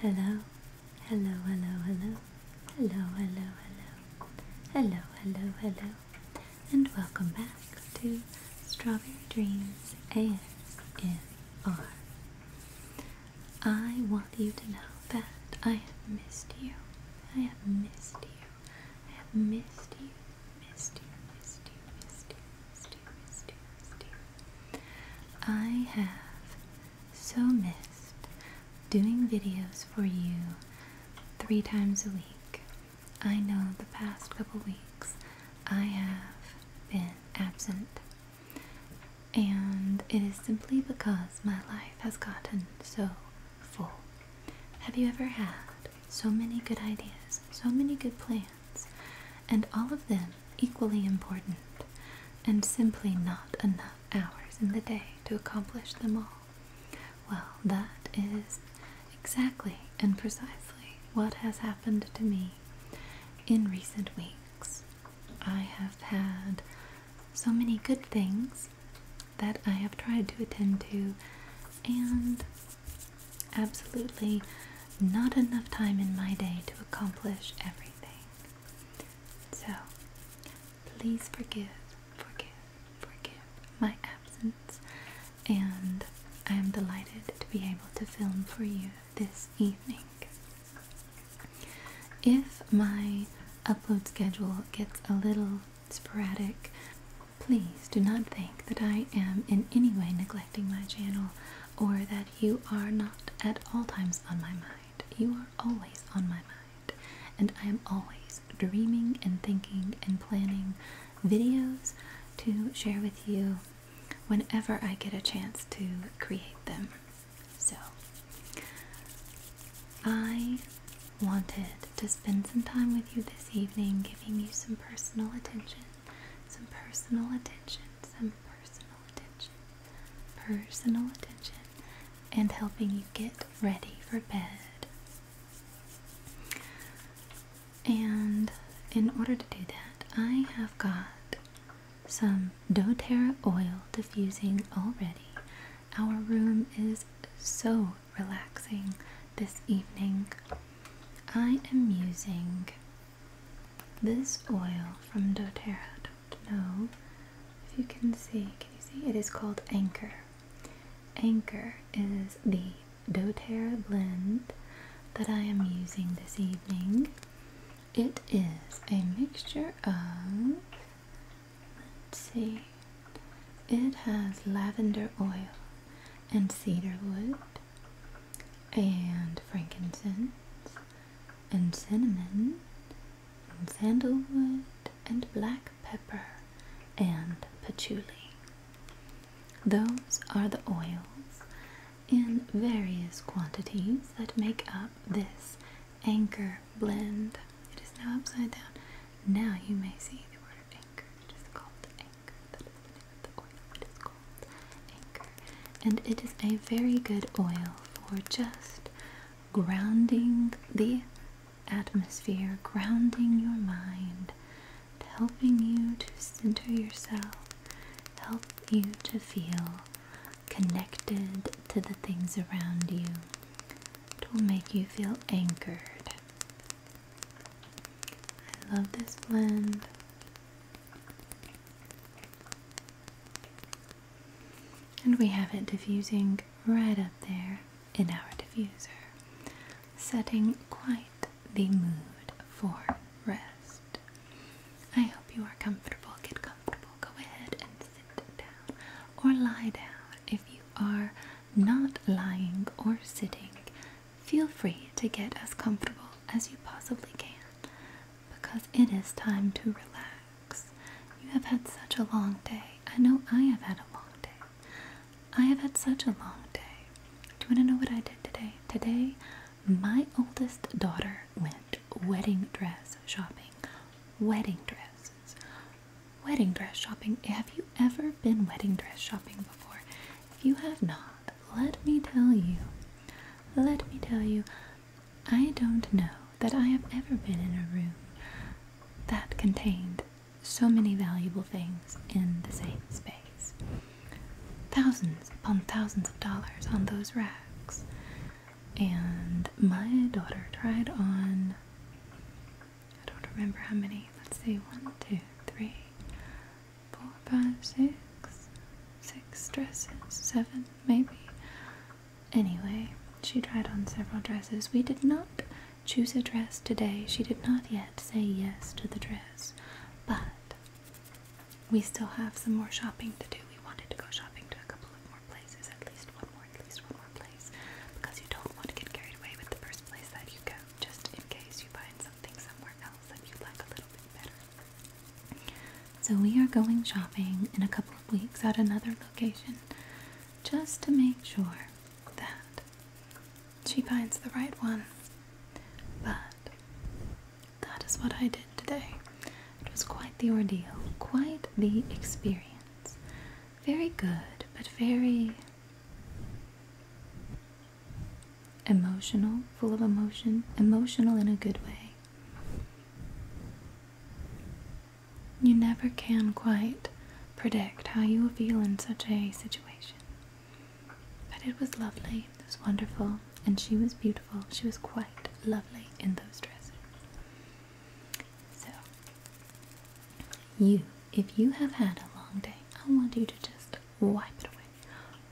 Hello, hello, hello, hello, hello, hello, hello, hello, hello, hello, and welcome back to Strawberry Dreams ASMR. I want you to know that I have missed you. I have missed you. I have missed you, missed you, missed you, missed you, I have so missed doing videos for you three times a week. I know the past couple weeks I have been absent. And it is simply because my life has gotten so full. Have you ever had so many good ideas, so many good plans, and all of them equally important, and simply not enough hours in the day to accomplish them all. Well, that is exactly and precisely what has happened to me in recent weeks. I have had so many good things that I have tried to attend to, and Absolutely not enough time in my day to accomplish everything. So, please forgive, forgive, forgive my absence, and I am delighted to be able to film for you this evening. If my upload schedule gets a little sporadic, please do not think that I am in any way neglecting my channel or that you are not at all times on my mind. You are always on my mind, and I am always dreaming and thinking and planning videos to share with you whenever I get a chance to create them. So, I wanted to spend some time with you this evening, giving you some personal attention some personal attention, some personal attention, personal attention, and helping you get ready for bed. And in order to do that, I have got some doTERRA oil diffusing already. Our room is so relaxing this evening. I am using this oil from doTERRA, don't know if you can see, can you see? It is called Anchor. Anchor is the doTERRA blend that I am using this evening. It is a mixture of, let's see, it has lavender oil and cedarwood and frankincense and cinnamon and sandalwood and black pepper and patchouli. Those are the oils in various quantities that make up this anchor blend. It is now upside down. Now you may see the word anchor, just called and it is a very good oil for just grounding the atmosphere, grounding your mind, helping you to center yourself, help you to feel connected to the things around you. It will make you feel anchored. I love this blend. And we have it diffusing right up there in our diffuser, setting quite the mood for rest. I hope you are comfortable. Get comfortable. Go ahead and sit down or lie down if you are not lying or sitting Feel free to get as comfortable as you possibly can because it is time to relax. You have had such a long day. I know I have had a long day. I have had such a long day. Do you want to know what I did today? Today, my oldest daughter went wedding dress shopping. Wedding dresses. Wedding dress shopping. Have you ever been wedding dress shopping before? If you have not, let me tell you, let me tell you, I don't know that I have ever been in a room that contained so many valuable things in the same space. Thousands upon thousands of dollars on those racks. And my daughter tried on, I don't remember how many, let's say one, two, three, four, five, six, six dresses, seven maybe. Anyway, she tried on several dresses. We did not choose a dress today. She did not yet say yes to the dress, but we still have some more shopping to do. We wanted to go shopping to a couple of more places, at least one more, at least one more place, because you don't want to get carried away with the first place that you go, just in case you find something so, we are going shopping in a couple of weeks at another location just to make sure that she finds the right one. But that is what I did today. It was quite the ordeal, quite the experience. Very good, but very emotional, full of emotion, emotional in a good way. You never can quite predict how you will feel in such a situation. But it was lovely, it was wonderful, and she was beautiful. She was quite lovely in those dresses. So, you, if you have had a long day, I want you to just wipe it away.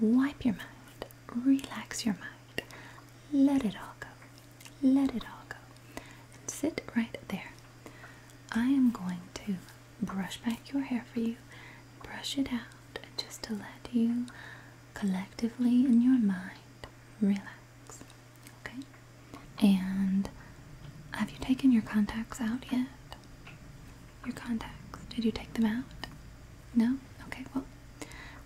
Wipe your mind, relax your mind, let it all go, let it all go, and sit right there. I am going to brush back your hair for you, brush it out, just to let you collectively in your mind relax. Okay? And have you taken your contacts out yet? Your contacts. Did you take them out? No? Okay, well,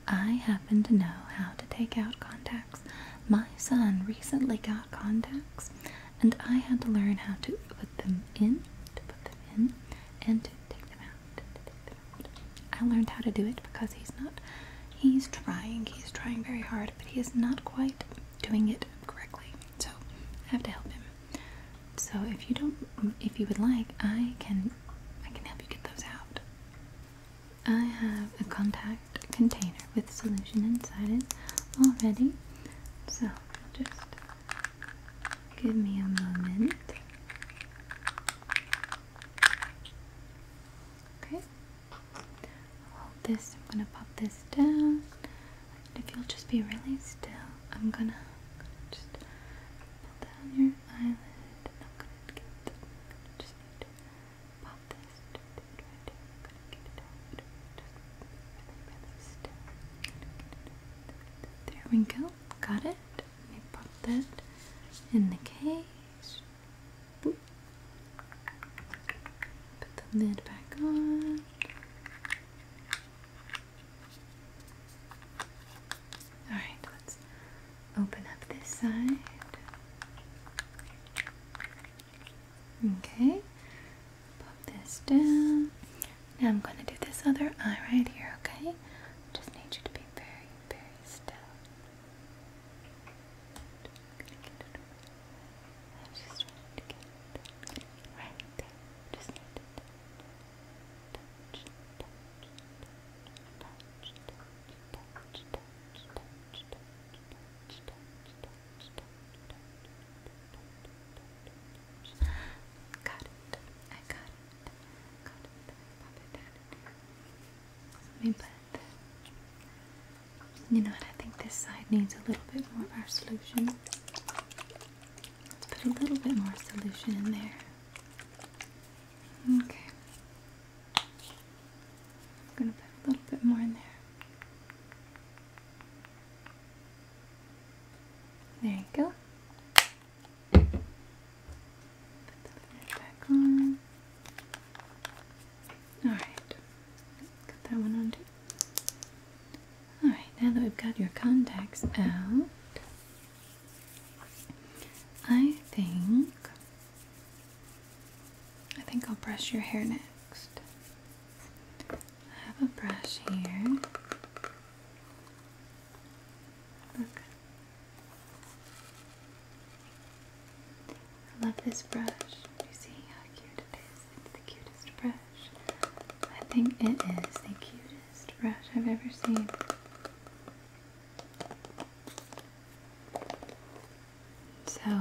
I happen to know how to take out contacts. My son recently got contacts, and I had to learn how to put them in, to put them in, and to take them out, take them out. I learned how to do it because he's not, he's trying, he's trying very hard, but he is not quite doing it correctly. So I have to help him. So if you don't, if you would like, I can, I can help you get those out. I have a contact container with solution inside it already. So just give me a moment. Okay. i this. I'm gonna pop this down if you'll just be really still, I'm gonna, i just pull down your eyelid. And I'm gonna get, i just pop this. There we go. Got it. Let pop that in the case. Put the lid back on. Alright, let's open up this side. Okay, pop this down. Now I'm going to do this other eye right here, okay? Just need you to be very, very still. right there. Just need it. Got it. I got it. Got it. down Let me put. You know what? I think this side needs a little bit more of our solution. Let's put a little bit more solution in there. Okay. I'm going to put a little bit more in there. There you go. Put the lid back on. Alright. that one on too. Alright, now that we've got your contacts out, I think I think I'll brush your hair next. I have a brush here. Look. I love this brush. you see how cute it is? It's the cutest brush. I think it is the cutest brush I've ever seen. So,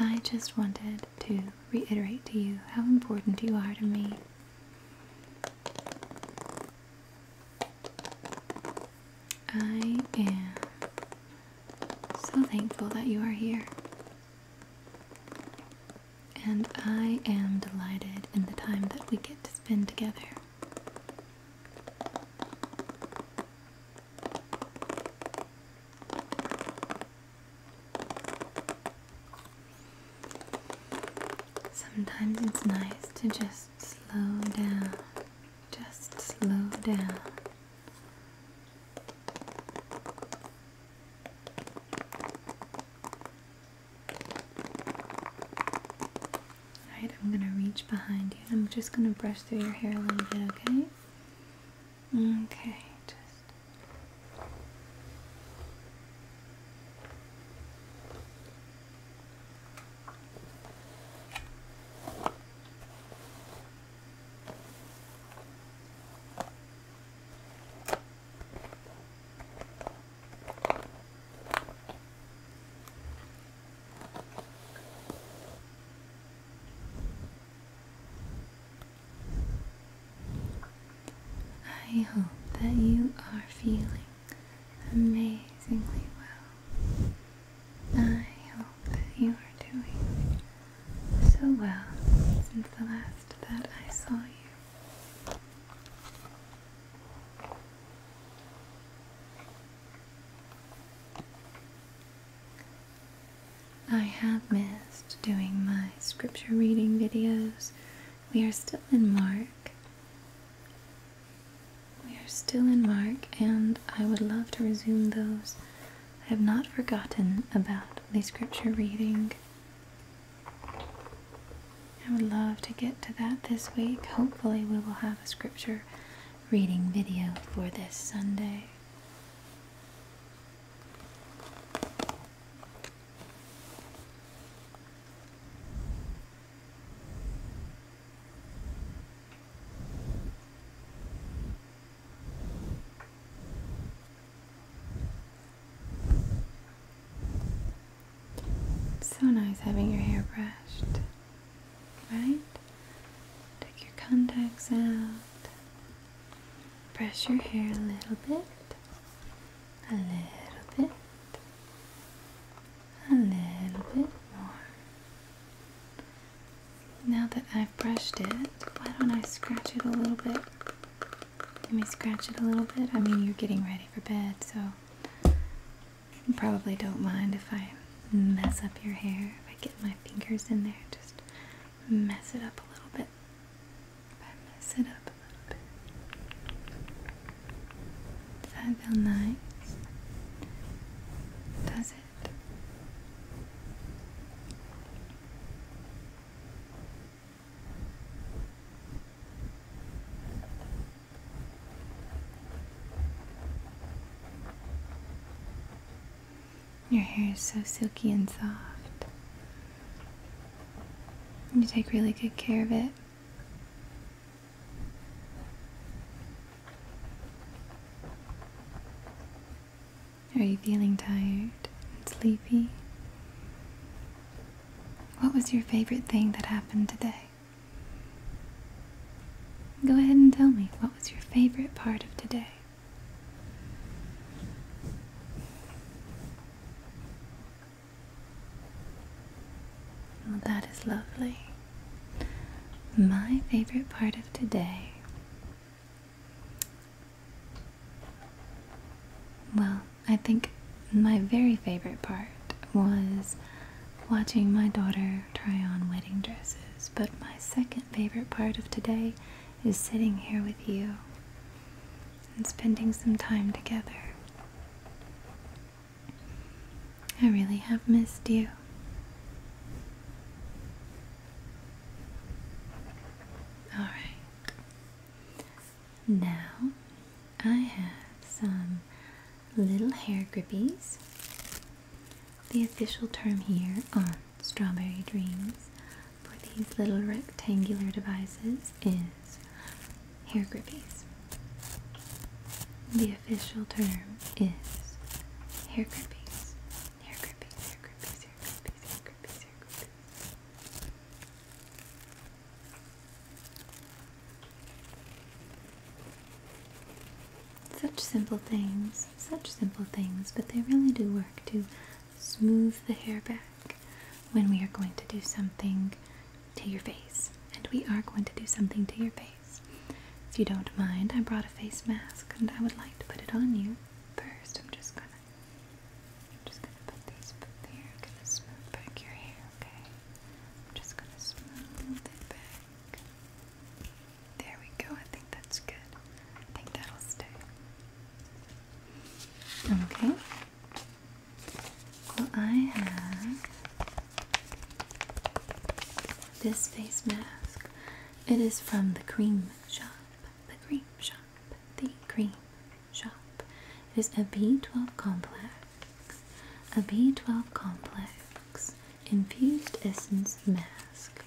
I just wanted to reiterate to you how important you are to me. I am so thankful that you are here. And I am delighted in the time that we get to spend together. Sometimes it's nice to just slow down just slow down. Alright, I'm gonna reach behind you. I'm just gonna brush through your hair a little bit, okay? Okay, just. I hope that you are feeling amazingly well. I hope that you are doing so well since the last that I saw you. I have missed doing my scripture reading videos. We are still in Mark. We are still in Mark, and I would love to resume those. I have not forgotten about the scripture reading. I would love to get to that this week. Hopefully, we will have a scripture reading video for this Sunday. So nice having your hair brushed, right? Take your contacts out, brush your hair a little bit, a little bit, a little bit more. Now that I've brushed it, why don't I scratch it a little bit? Let me scratch it a little bit. I mean, you're getting ready for bed, so you probably don't mind if I mess up your hair. If I get my fingers in there, just mess it up a little bit. mess it up a little bit. Does feel nice? Does it? Your hair is so silky and soft. You take really good care of it. Are you feeling tired and sleepy? What was your favorite thing that happened today? Go ahead and tell me, what was your favorite part of today? that is lovely. My favorite part of today. Well, I think my very favorite part was watching my daughter try on wedding dresses, but my second favorite part of today is sitting here with you and spending some time together. I really have missed you. All right. Now I have some little hair grippies. The official term here on Strawberry Dreams for these little rectangular devices is hair grippies. The official term is hair grippies. Hair grippies, hair grippies, hair grippies, hair grippies, hair grippies. Such simple things, such simple things, but they really do work to smooth the hair back when we are going to do something to your face. And we are going to do something to your face. If you don't mind, I brought a face mask and I would like to put it on you. First, I'm just gonna, I'm just gonna put these up there. I'm gonna smooth back your hair, okay? I'm just gonna smooth it back. There we go. I think that's good. I think that'll stay. Okay. Well, I have this face mask, it is from the cream shop. The cream shop. The cream shop. It is a B12 complex. A B12 complex infused essence mask.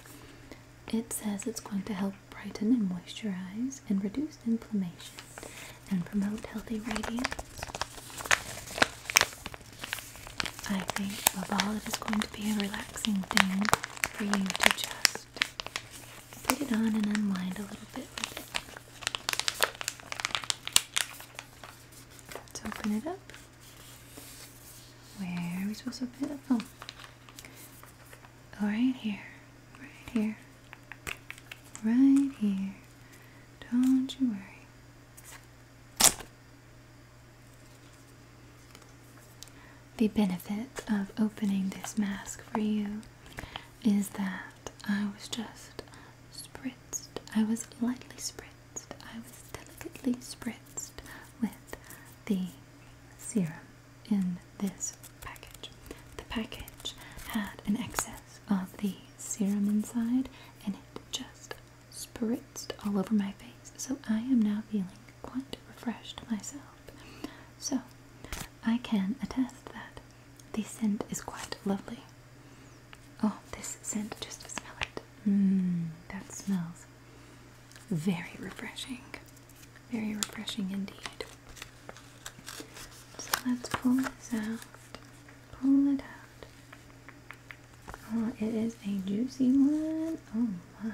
It says it's going to help brighten and moisturize and reduce inflammation and promote healthy radiance. I think above all it is going to be a relaxing thing for you to just put it on and unwind a little bit with it. Let's open it up. Where are we supposed to put it up from? Oh, right here. Right here. Right here. Don't you worry. The benefit of opening this mask for you is that I was just spritzed. I was lightly spritzed. I was delicately spritzed with the serum in this package. The package had an excess of the serum inside and it just spritzed all over my face, so I am now feeling quite refreshed myself. So, I can attest that the scent is quite lovely. Oh, this scent, just smell it. Mmm, that smells very refreshing. Very refreshing indeed. So let's pull this out. Pull it out. Oh, it is a juicy one. Oh my.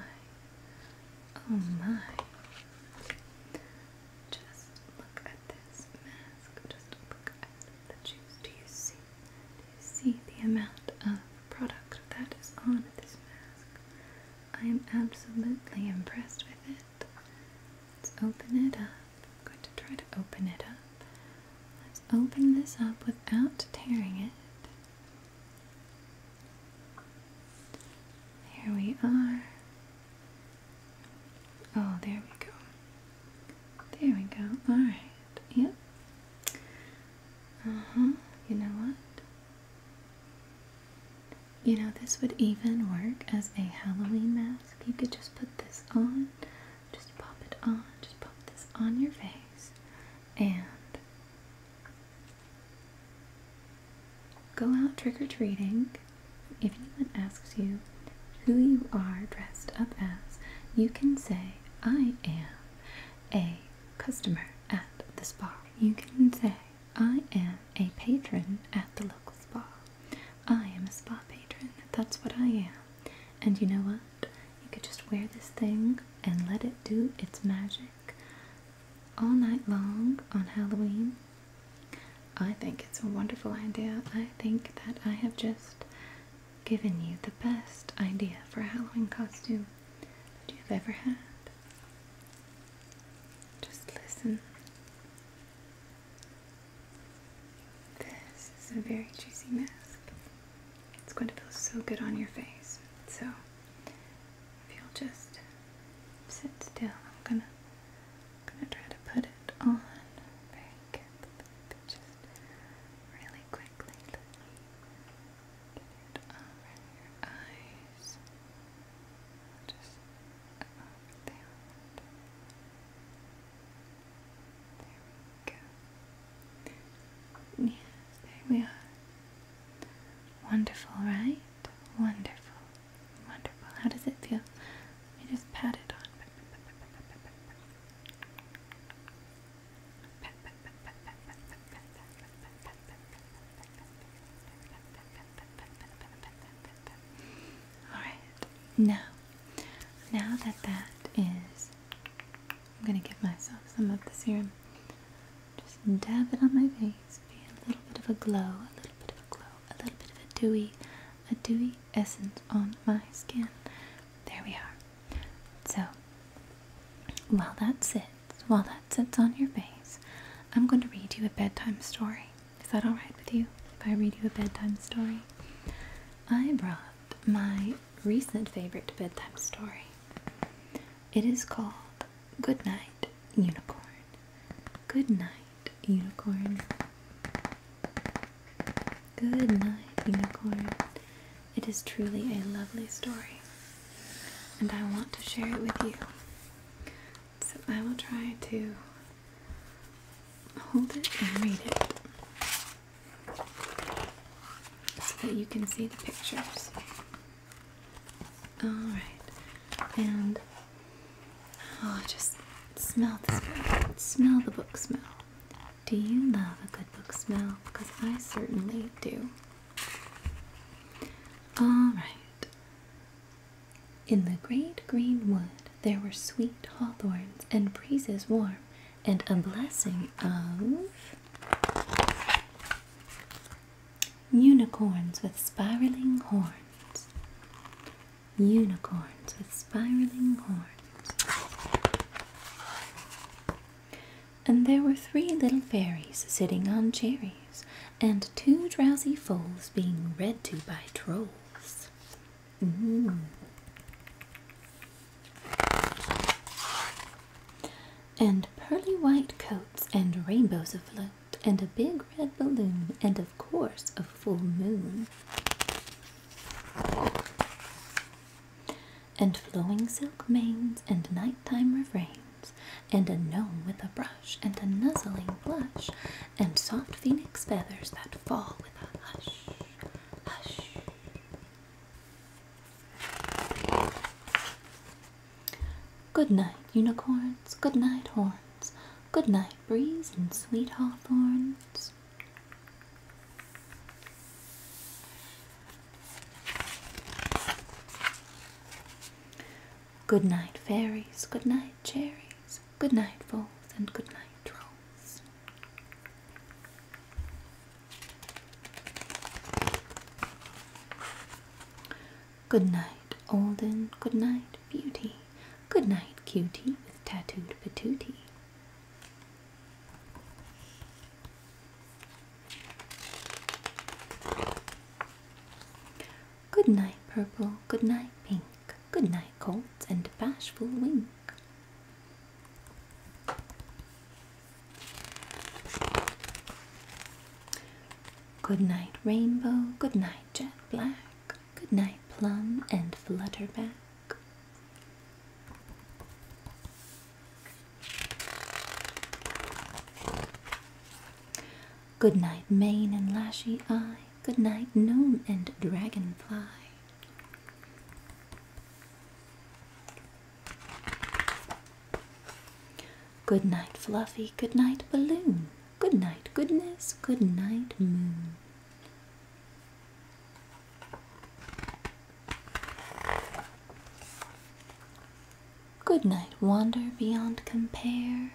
Oh my. Just look at this mask. Just look at the juice. Do you see? Do you see the amount of product that is on this mask? I am absolutely impressed with it. Let's open it up. I'm going to try to open it up. Let's open this up without tearing it. Here we are. Oh, there we go. There we go. Alright. Yep. Uh huh. You know what? You know, this would even work as a Halloween mask. You could just put this on just pop it on. Just pop this on your face and go out trick or treating. If anyone asks you who you are dressed up as, you can say, I am a customer at the spa. You can say, I am a patron at the local spa. I am a spa patron. That's what I am. And you know what? You could just wear this thing and let it do its magic all night long on Halloween. I think it's a wonderful idea. I think that I have just given you the best idea for a Halloween costume that you've ever had. Just listen. This is a very juicy mask. It's going to feel so good on your face. So, if you'll just sit still, I'm gonna, gonna try to put it on very just really quickly. get it over your eyes. Just over uh, there. There we go. Yes, there we are. Wonderful, right? Wonderful. Wonderful. How does it feel? Let me just pat it on. Alright, now now that that is, I'm going to give myself some of the serum. Just dab it on my face. Be a little bit of a glow, a little bit of a glow, a little bit of a dewy, a dewy essence on my skin. There we are. So, while that sits, while that sits on your face, I'm going to read you a bedtime story. Is that alright with you? If I read you a bedtime story? I brought my recent favorite bedtime story. It is called Good Night Unicorn. Good night, unicorn. Good night, unicorn. It is truly a lovely story, and I want to share it with you. So I will try to hold it and read it so that you can see the pictures. Alright, and oh, just smell the smell. Smell the book smell. Do you love a good book smell? Because I certainly do. Alright. In the great green wood, there were sweet hawthorns and breezes warm, and a blessing of unicorns with spiraling horns. Unicorns with spiraling horns. And there were three little fairies sitting on cherries, and two drowsy foals being read to by trolls. Mm-hmm. And pearly white coats and rainbows afloat, and a big red balloon, and of course a full moon. And flowing silk manes, and nighttime refrains, and a gnome with a brush, and a nuzzling blush, and soft phoenix feathers that fall with a hush hush. Good night, unicorns. Good night, horns. Good night, breeze and sweet hawthorns. Good night, fairies. Good night, cherries. Good night, foals, and good night, trolls. Good night, olden. Good night, Beauty. Good night, Cutie with tattooed petootie. Good night, Purple. Good night, Pink good night, colt, and bashful wink. Good night, rainbow, good night, jet black, good night, plum, and flutterback. Good night, mane and lashy eye, good night, gnome and dragonfly. Good night, Fluffy. Good night, Balloon. Good night, Goodness. Good night, Moon. Good night, Wander Beyond Compare.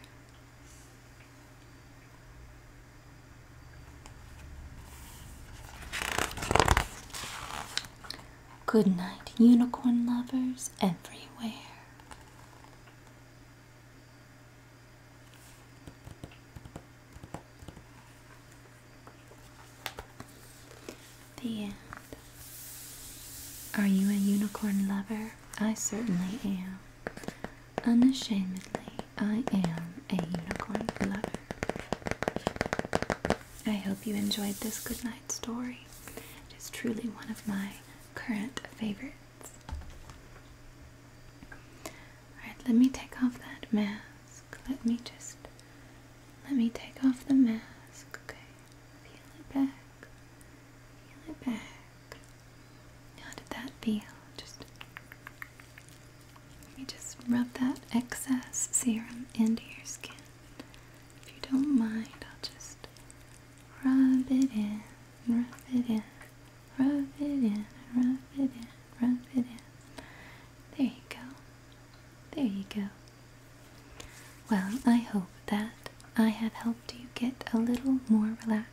Good night, unicorn lovers everywhere. The end. Are you a unicorn lover? I certainly am. Unashamedly, I am a unicorn lover. I hope you enjoyed this goodnight story. It is truly one of my current favorites. Alright, let me take off that mask. Let me just let me take off the mask, okay? Peel it back. Peel it back. How did that feel? Just let me just rub that excess serum into your skin. If you don't mind, I'll just rub it in, rub it in, rub it in, rub it in, rub it in. There you go. There you go. Well, I hope that I have helped you get a little more relaxed